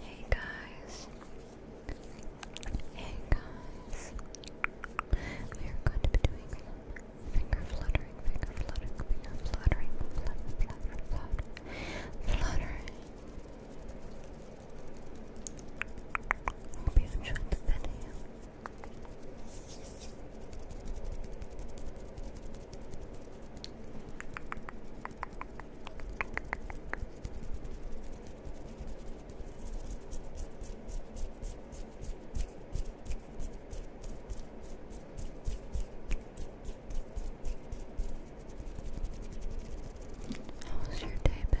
Hey guys. Hey guys. We are going to be doing finger fluttering, finger fluttering, finger fluttering, flutter, flutter, flutter, fluttering. Hope you enjoyed the video. How's your day been?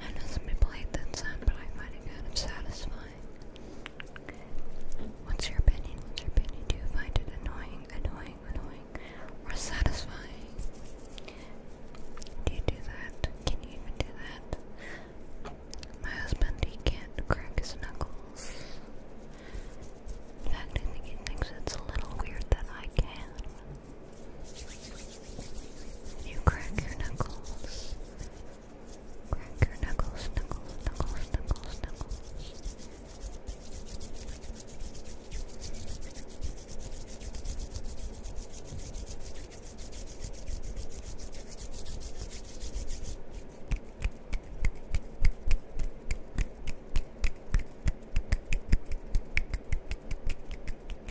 I know some people that sound, but I find it kind of satisfying. What's your opinion? What's your opinion? Do you find it annoying, annoying, annoying, or satisfying? Do you do that? Can you even do that? My husband, he can't crack his knuckles. In I think he thinks it's a little weird that I can. You crack your knuckles. Crack your knuckles, knuckles, knuckles, knuckles,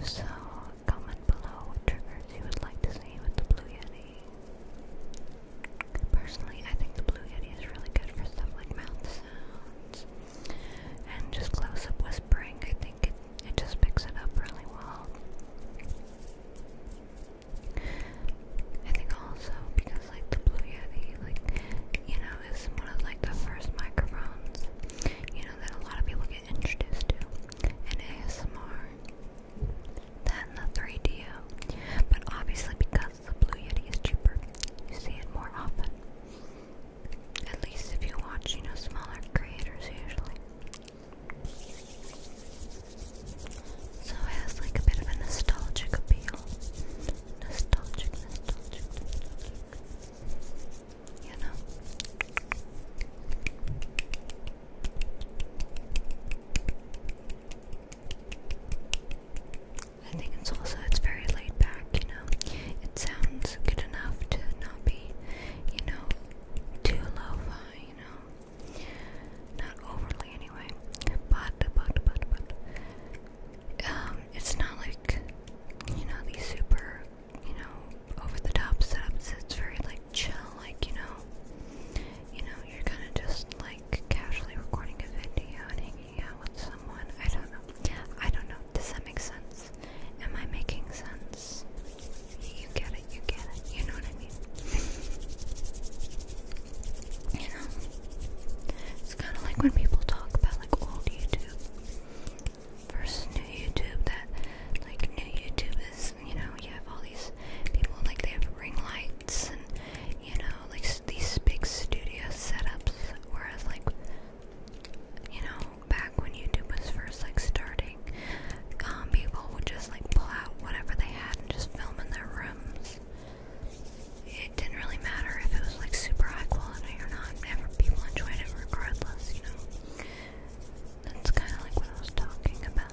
If so, comment below what triggers you would like to see with the Blue Yeti. Personally, I think the Blue Yeti is really good for stuff like mouth sounds and just close up whispering. I think it, it just picks it up really well. I think also because like the Blue Yeti, like you know, is one of like the first microphones. You know, know that a lot of people get introduced to in ASMR than the 3DO. But obviously because the Blue Yeti is cheaper, you see it more often. At least if you watch, you know, smaller creators usually. So it has like a bit of a nostalgic appeal. nostalgic, nostalgic. I think it's also it's very laid back, you know. It sounds good enough to not be, you know, too lo you know. Not overly anyway. But but but but um it's not like you know these super you know, over the top setups. it's very like chill, like you know, you know, you're kind of just like casually recording a video and hanging out with someone. I don't know. I don't know. Does that make sense? Am I making sense? You get it. You get it. You know what I mean? you know, it's kind of like when people talk about like old YouTube versus new YouTube that like new YouTube is you know you have all these people like they have ring lights and you know like these big studio setups whereas like you know back when YouTube was first like starting um people would just like pull out whatever they had and just film in their rooms it didn't really matter if it was like super high quality or not, Never. people enjoy it regardless, you know. That's kind of like what I was talking about.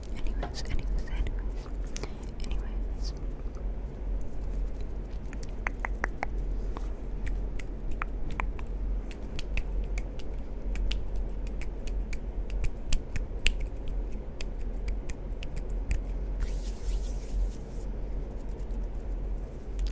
Anyways, anyways, anyways, anyways.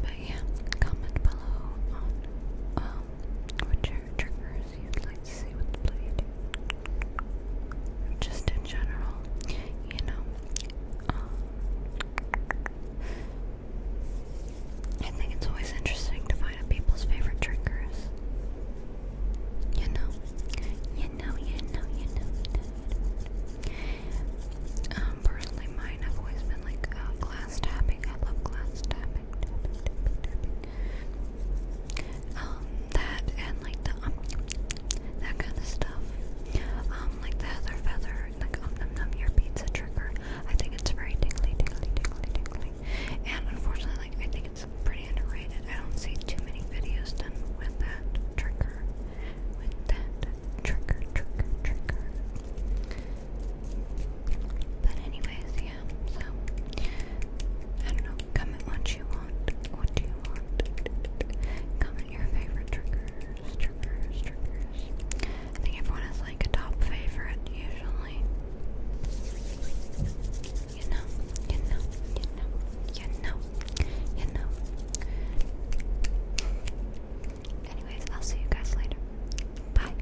But yeah, comment below on um what your favorite triggers you'd like to see with the blade? Just in general, you know. Um, I think it's always interesting to find out people's favorite triggers. You know, you know, you know, you know, you know. Um, personally, mine have always been like uh, glass tapping. I love glass tapping, tapping, tapping, tapping um, that and like the um, that kind of stuff, um, like the heather feather, like um num num your pizza trigger. I think it's very tingly, tingly, tingly, tingly, and unfortunately, like I think it's pretty underrated. I don't see too many videos done with that trigger, with that trigger, trigger, trigger. But anyways, yeah, so I don't know, comment what you want, what do you want, comment your favorite triggers, triggers, triggers, I think everyone has like a top favorite usually, you know, you know, you know, you know, you know, anyways, I'll see you guys later, bye.